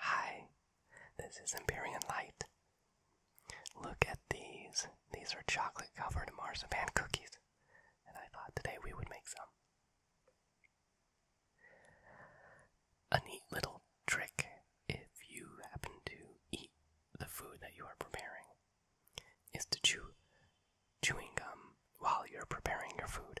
Hi, this is Empyrean Light, Look at these. These are chocolate covered marzipan cookies, and I thought today we would make some. A neat little trick if you happen to eat the food that you are preparing is to chew chewing gum while you're preparing your food.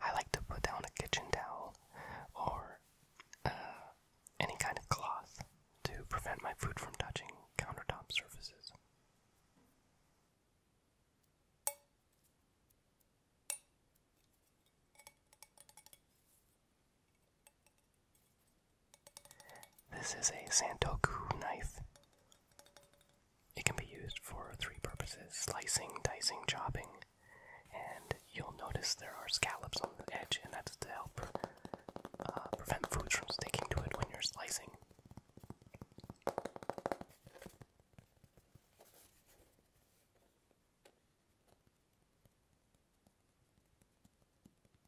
I like to put down a kitchen towel or uh, any kind of cloth to prevent my food from touching countertop surfaces. This is a Santoku knife. It can be used for three purposes slicing, dicing, chopping, and you'll notice there are scallops on the edge, and that's to help uh, prevent foods from sticking to it when you're slicing.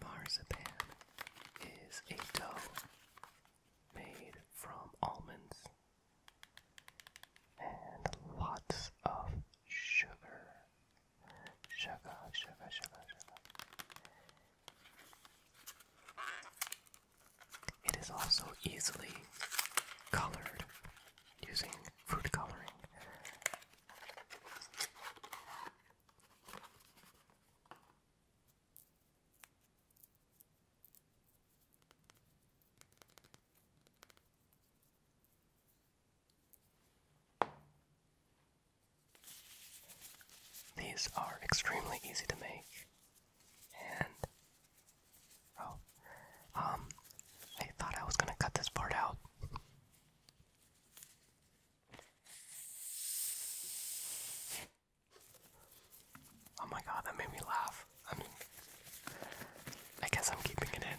Marzipan is a dough made from almonds and lots of sugar. Sugar, sugar, sugar, sugar. It is also easily colored using food coloring. These are extremely easy to make and bro. Um, I thought I was gonna cut this part out. Oh my god, that made me laugh. I mean, I guess I'm keeping it in.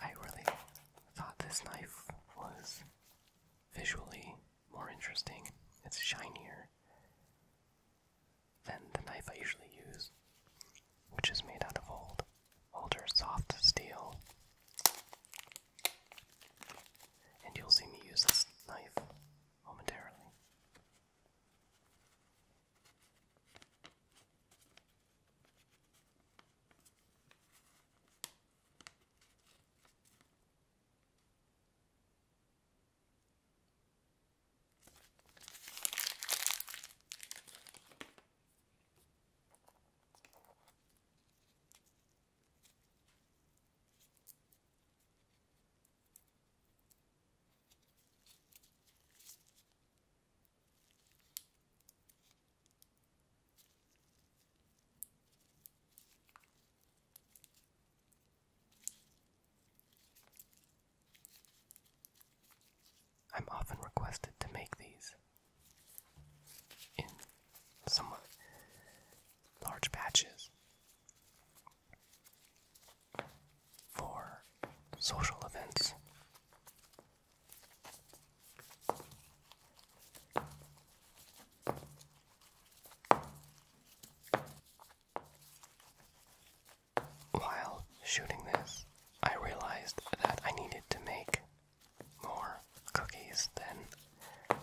I really thought this knife was visually more interesting. It's shinier than the knife I usually use, which is made out of old, older soft steel. And you'll see me use this knife momentarily. I'm often requested to make these in somewhat large patches for social events. While shooting this, I realized that I needed to make more cookies than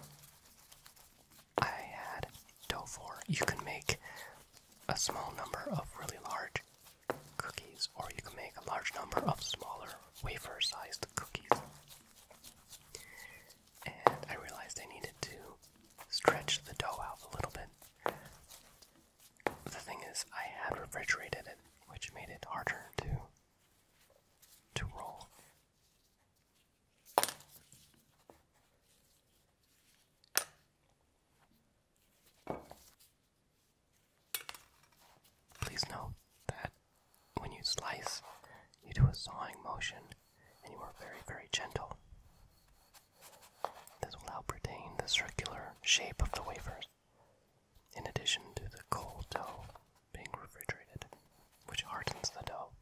I had dough for. You can make a small number of really large cookies, or you can make a large number of smaller wafer sized cookies. And I realized I needed to stretch the dough out a little bit. The thing is, I had refrigerated it, which made it harder to to roll. Please note that when you slice, you do a sawing motion and you are very, very gentle. This will help retain the circular shape of the wafers, in addition to the cold dough being refrigerated, which hardens the dough.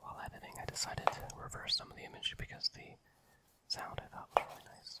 While editing, I decided to reverse some of the image because the sound I thought was really nice.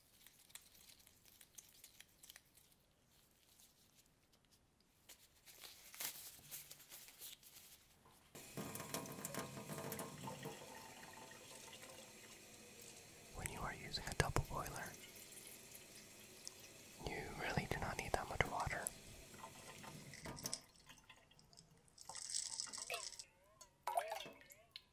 When you are using a double boiler, you really do not need that much water.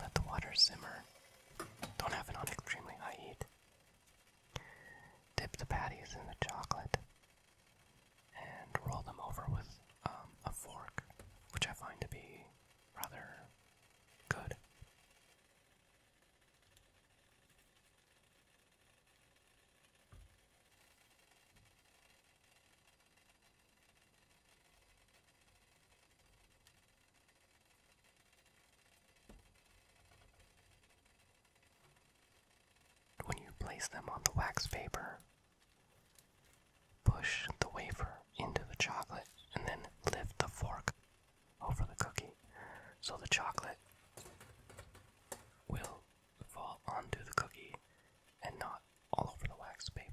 Let the water simmer. Don't have it on extremely high heat. Dip the patties in the chocolate and roll them over with um, a fork, which I find to be rather good. When you place them on the wax paper, Push the wafer into the chocolate and then lift the fork over the cookie so the chocolate will fall onto the cookie and not all over the wax paper.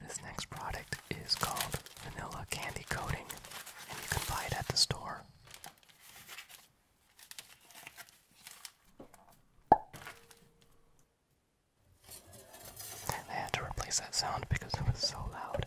This next product is called vanilla candy coating, and you can buy it at the store. I had to replace that sound because it was so loud.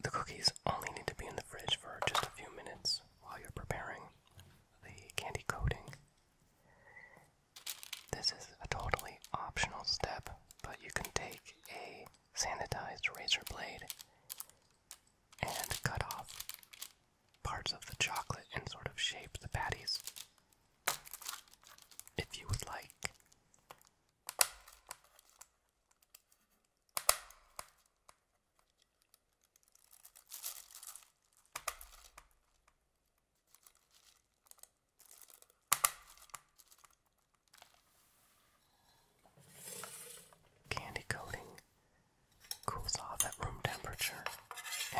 The cookies only need to be in the fridge for just a few minutes while you're preparing the candy coating. This is a totally optional step, but you can take a sanitized razor blade and cut off parts of the chocolate and sort of shape the patties. If you would like. Candy coating cools off at room temperature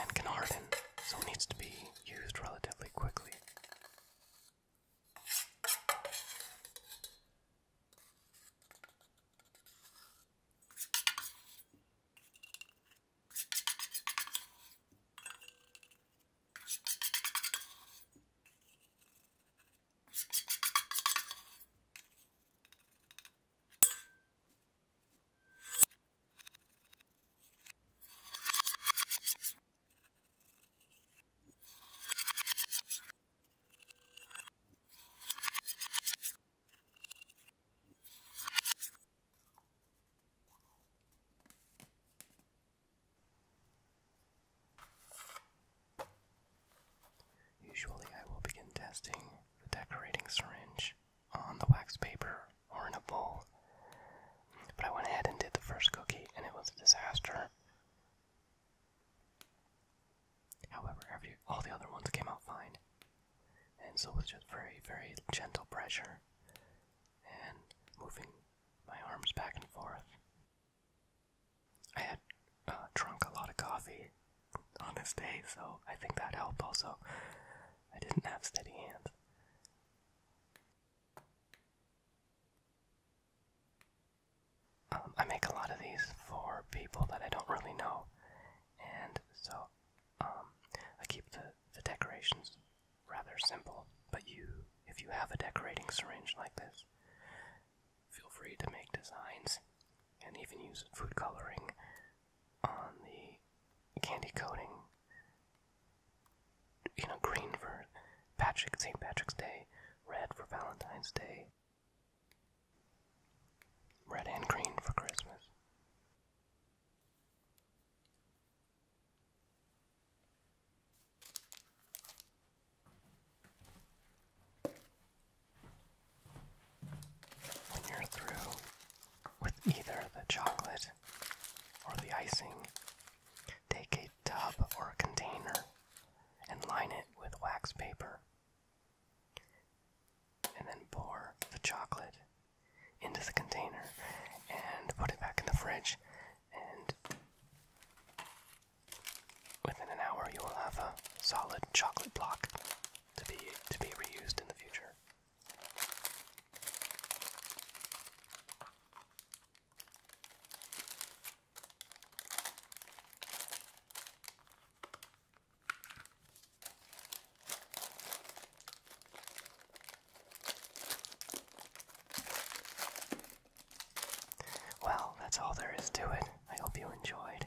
and can harden, so it needs to be used relatively quickly. Usually, I will begin testing the decorating syringe on the wax paper or in a bowl. But I went ahead and did the first cookie, and it was a disaster. However, all the other ones came out fine, and so with just very, very gentle pressure and moving my arms back and forth. I had uh, drunk a lot of coffee, on this day, so I think that helped also. I didn't have steady hands. Um, I make a lot of these for people that I don't really know, and so um, I keep the, the decorations rather simple. But you, if you have a decorating syringe like this, feel free to make designs and even use food coloring on the candy coating, you know, green for Patrick St. Patrick's Day, red for Valentine's Day, red and green for Christmas. And you're through with either the chocolate or the icing. Take a tub or a container and line it with wax paper. And then pour the chocolate into the container and put it back in the fridge. And within an hour, you will have a solid chocolate block to be to be reused in the future. Well, that's all there is to it. I hope you enjoyed.